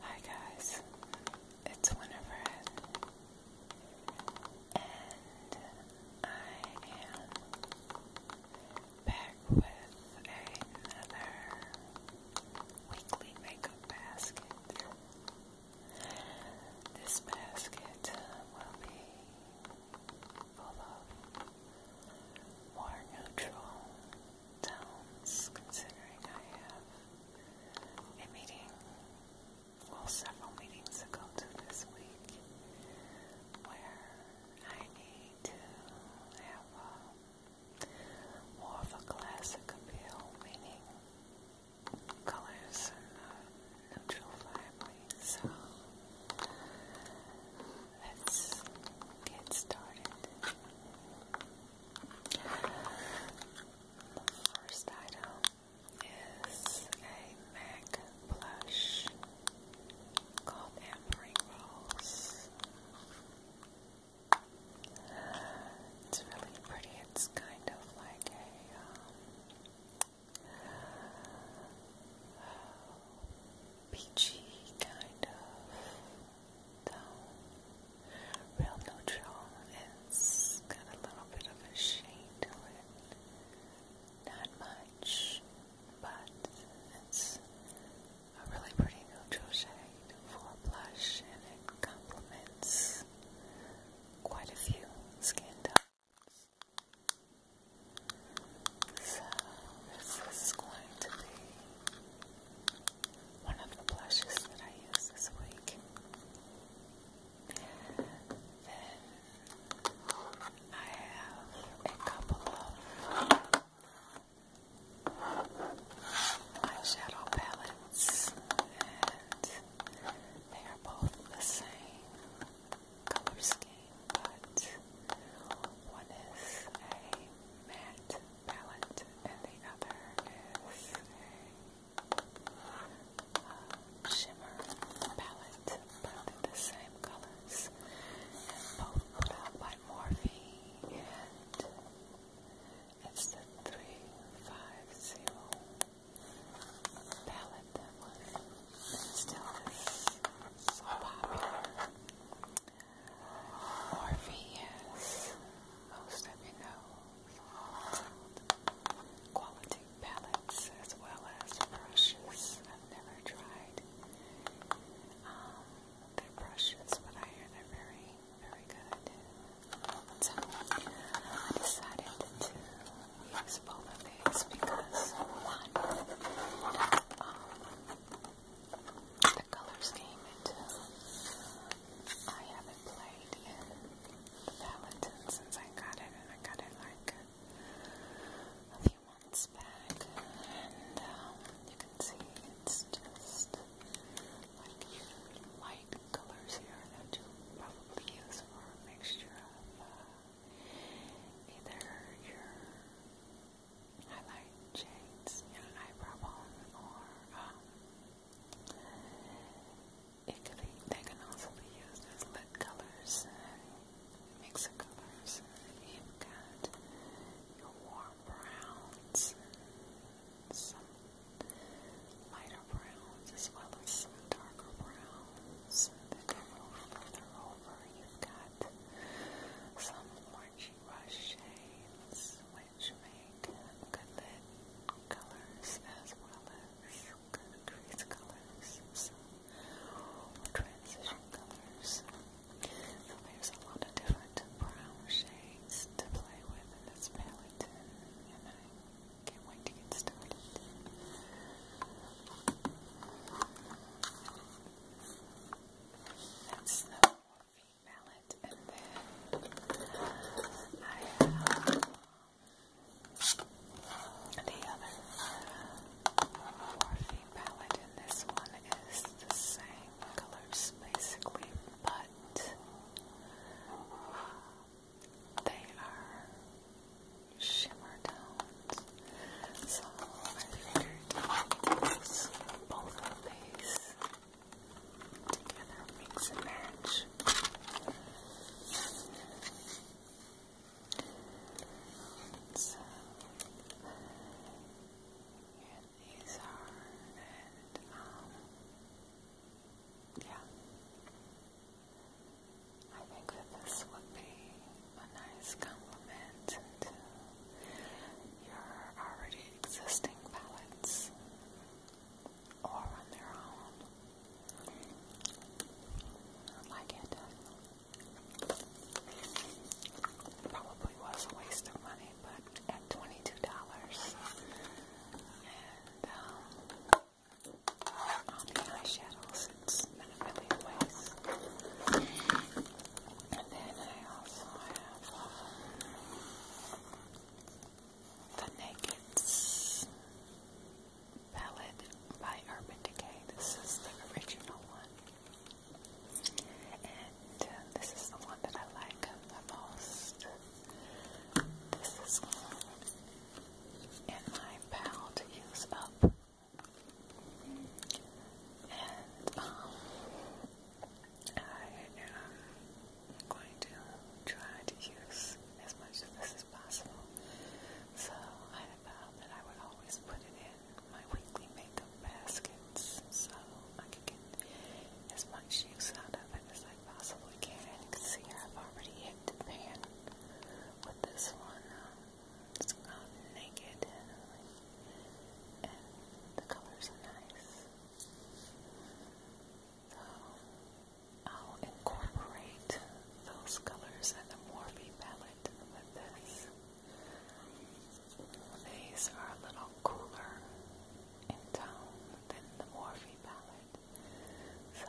Hi guys, it's Winifred, and I am back with another weekly makeup basket. This basket will be full of more neutral considering I have a meeting, well, several meetings to go to this week, where I need to have a, more of a classic appeal, meaning colors and neutral family. So let's get started. The first item is a MAC blush called Ampering Rose. It's really pretty. It's kind of like a um, peachy kind of down. Real neutral. It's got a little bit of a shade to it. Not much, but it's a really pretty neutral shade for a blush and it complements quite a few skin tones. So this is going to be one of the blushes that I use this week. Then I have a couple of eyeshadow palettes, and they are both the same color scheme, but one is a matte palette, and the other is a shimmer palette, both the same colors, both put out by Morphe, and it's the 350 palette that was still so popular. Orpheus, most of you know, quality palettes as well as brushes. I've never tried um, their brushes, but I hear they're very, very good. I decided to use both of these because one, um, the color scheme too. Uh, I haven't played in the Palatine since I got it, and I got it like a few months back. And um, you can see it's just like light colors here that you probably use for a mixture of uh, either your highlight shades in an eyebrow bone, or um, it can also be used as lip colors, uh, mix of colors. You've got your warm browns, lighter browns, as well as darker browns that go further over. You've got some more orange brush which make good colors as well as good crease colors, so, transition colors. So there's a lot of different brown shades to play with in this palette, and I can't wait to get started. That's the morphine mallet. And then I have uh, the other uh, morphine palette. And this one is the same colors basically, but they are shimmer tones. So I figured those, both of these together, mix and So yeah, these are and um, yeah. I think that this would be a nice compliment to your already existing palettes or on their own. I like it. Probably was a waste of money, but at $22, and um, on the eyeshadows, it's not really a waste. And then I also have um, the Naked's palette by Urban Decay. This is the original one. And uh, this is the one that I like the most. This is one um, in my pal to up. And um, I am going to try to use as much of this as possible. So I found that I would always put it in my weekly makeup baskets so I could get as much use out of it as I possibly can. You can see I've already hit the pan with this one. Um, it's called Naked, and the colors are nice. So I'll incorporate those colors in the Morphe palette with this. These are a little cooler in tone than the Morphe palette, so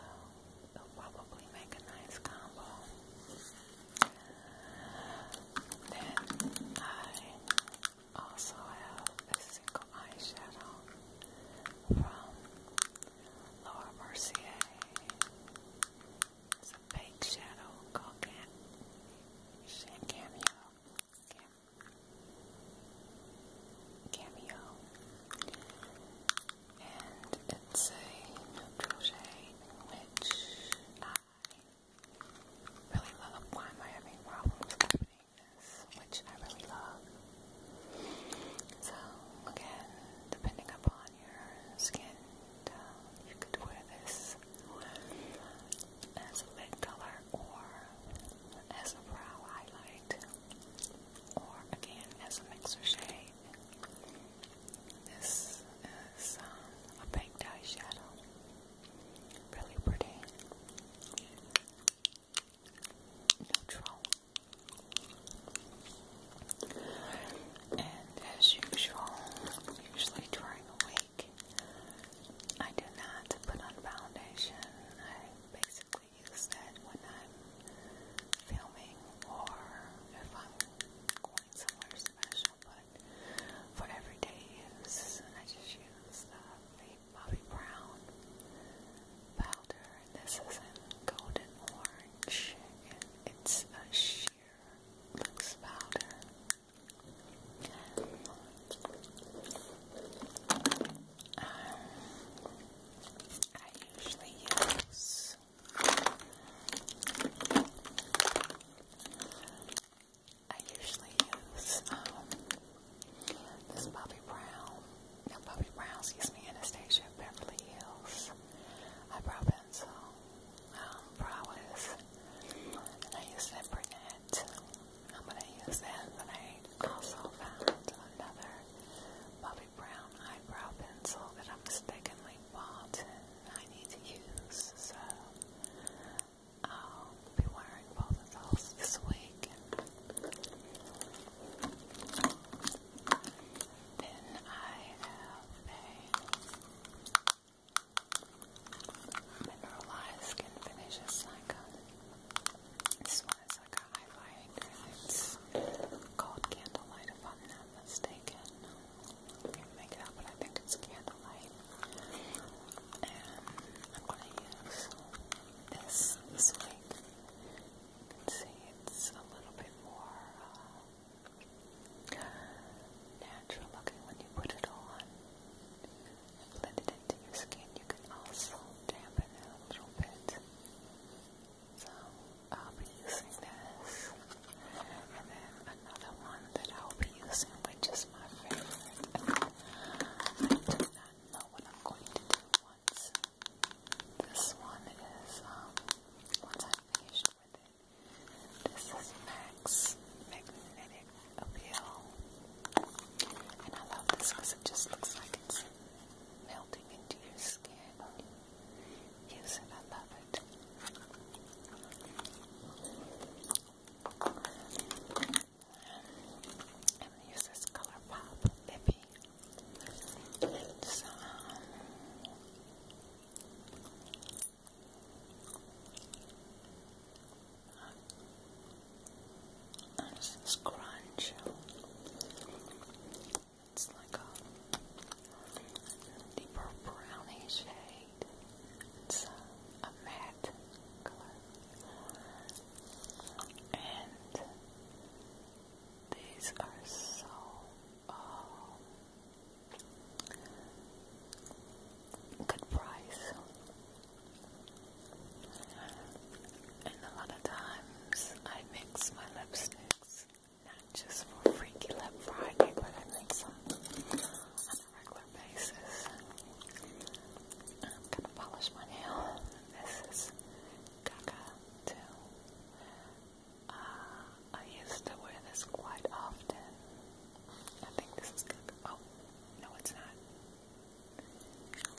they'll probably make a nice combo. Then I also have a single eyeshadow from Laura Mercier. It's a fake shadow called Cameo. Cameo. And it's a neutral shade, which really love why am I having problems opening this, which I really love. So again, depending upon your skin tone, uh, you could wear this as a lid color or as a brow highlight or again as a mixer shade. This is um, a pink dye shadow. Really pretty. Neutral. And as usual, usually during a week, I do not put on foundation. I basically use that when I'm filming or if I'm going somewhere special, but for everyday use, I just use the Bobbi Brown powder. This is in golden orange, and it's a sheer loose powder. Um, I usually use I usually use um, this Bobbi Brown, Bobbi Brown, excuse me, Anastasia Beverly Hills eyebrow pencil, um, Prowess, and I use that brunette. I'm going to use that, but I also found another Bobbi brown eyebrow pencil that I mistakenly bought I need to use, so I'll be wearing both of those this week. Then I have a mineralized skin finish This one is like a highlighter. It's called Candlelight, if I'm not mistaken make it out, but I think it's candlelight. And I'm gonna use this this see it's a little bit more uh, natural looking when you put it on. blend it into your skin. You can also dampen a little bit. So I'll be using this. And then another one that I'll be using, which is my favorite. I do not know what I'm going to do once. This one is, um, once I'm finished with it, this is Max Magnetic Appeal. And I love this because it just looks like it's melting into your skin. Use it, I love it. i use this ColourPop lippy. It's um, it's like a deeper brownish shade. It's a, matte color. And these are so um, good price. And a lot of times I mix my lipsticks not just for Freaky Lip Friday, but I make some on a regular basis. I'm gonna polish my nail. This is Gaga too. Uh, I used to wear this quite often. I think this is Gaga. Oh, no, it's not.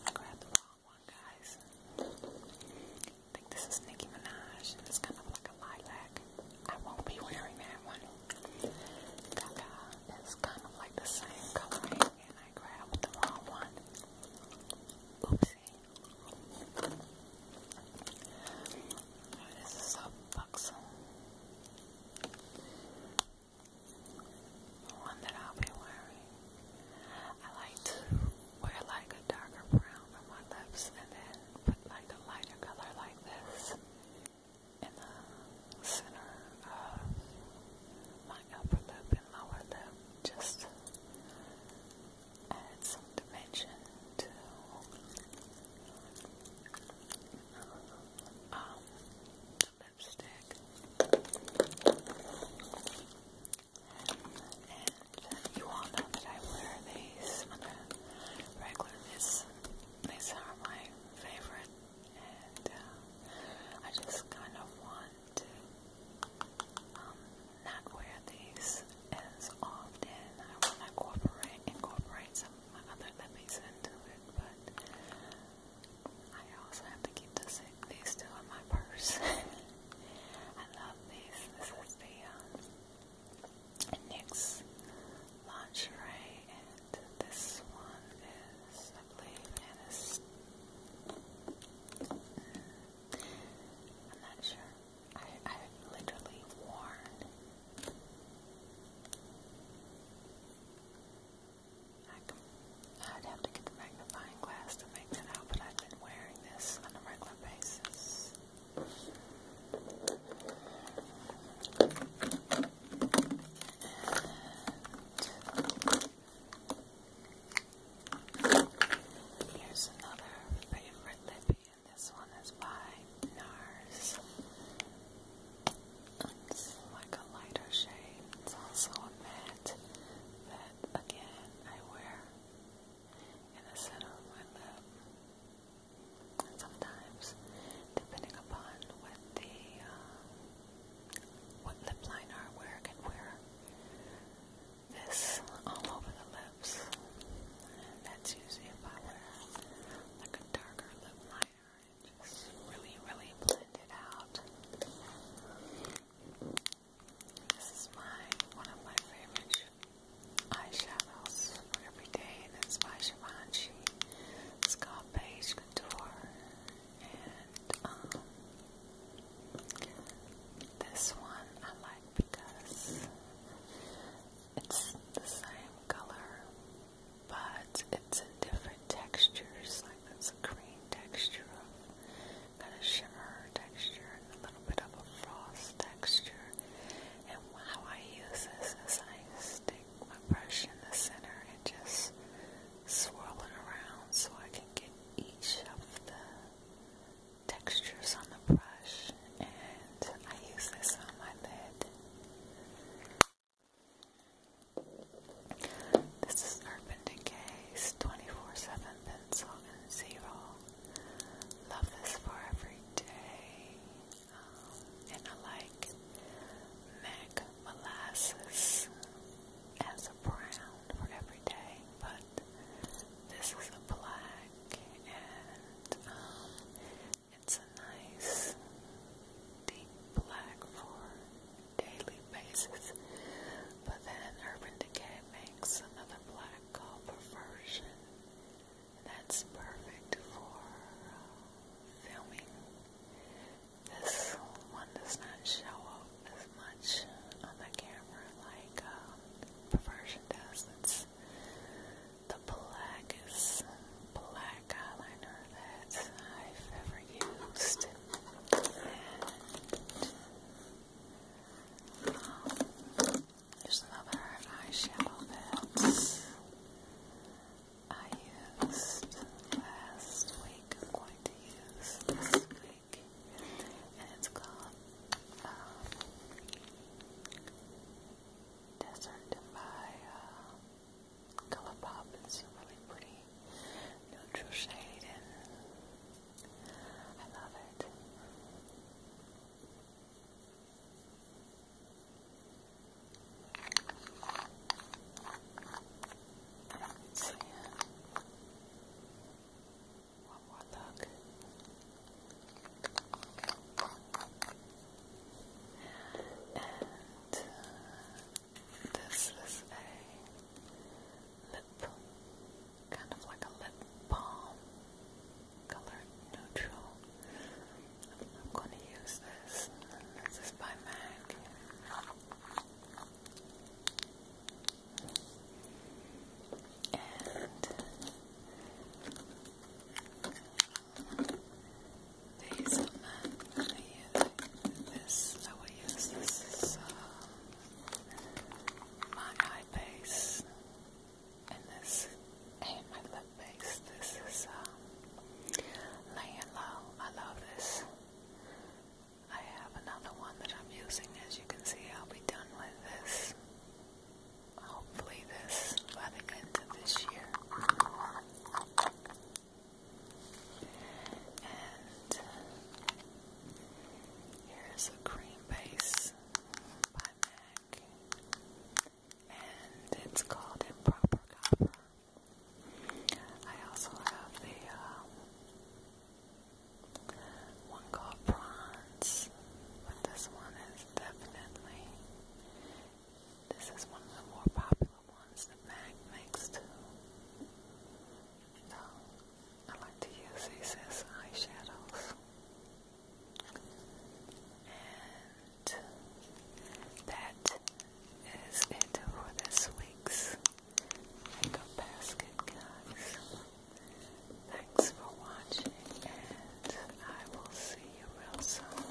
I grabbed the wrong one, guys. I think this is Nicki Minaj. It's kind of like a lilac. I won't be wearing that one. Gaga kind of like the same coloring, and I grabbed the wrong one. Oopsie. This is a buxom. The one that I'll be wearing. I like to wear like a darker brown for my lips and then put like a lighter color like this in the center of my upper lip and lower lip just add some dimension to um, the lipstick and you all know that I wear these on a regular basis. These are my favorite, and uh, I just kind of want um, not wear these as often. I incorporate, incorporate some other lippies into it, but I also have to keep this, these still in my purse. I love these. This is the um, lingerie, and this one is, I believe, Anna's. I'm not sure. I, I've literally worn. I I'd have to get the magnifying glass to make that out, but I've been wearing this on a regular regular basis. here's another favorite lippy, and this one is by NARS. It's like a lighter shade. It's also a matte that, again, I wear in the center of my lip. And sometimes, depending upon what the uh, what lip liner I wear, I can wear this all over the lips. that's usually if I wear like a darker lip liner and just really, really blend it out. This is my one of my favorite eyeshadows for every day, and it's by Givenchy. It's Couture, and um, this one I like because it's the same color, but it's in different textures. Like there's a green texture got a shimmer texture and a little bit of a frost texture. And how I use this is I stick my brush in the center and just swirl it around so I can get each of the textures on the brush. And I use this on my lid. This is Urban Brendan 24 7 Pencil and Zero. Love this for every day. Um, and I like Mac Molasses as a brown for every day, but this is a black and um, it's a nice deep black for daily basis, but then Urban Decay makes another black called Perversion, that's perfect for uh, filming. This one does not show up as much on the camera like um, Perversion does. It's the blackest black eyeliner that I've ever used, um, there's another eyeshadow that I used last week. I'm going to use this week, and it's called um, Desert by uh, Colourpop. It's a really pretty neutral shade I love it. see. One more look. And uh, this is a lip, kind of like a lip balm, color neutral. I'm going to use this. This is by MAC. And these are MAC. i use this. I will use this. Uh, my eye base and this and my lip base. This is um, laying low. I love this. I have another one that I'm using. As you can see, I'll be done with this. Hopefully, this by the end of this year. And uh, here's a cream base by MAC. And it's called Improper Copper. I also have the um, one called Bronze, but this one is definitely, this is one of the more popular the ones the Mac makes too. So I like to use these eyeshadows. And that is it for this week's makeup basket, guys. Thanks for watching, and I will see you real soon.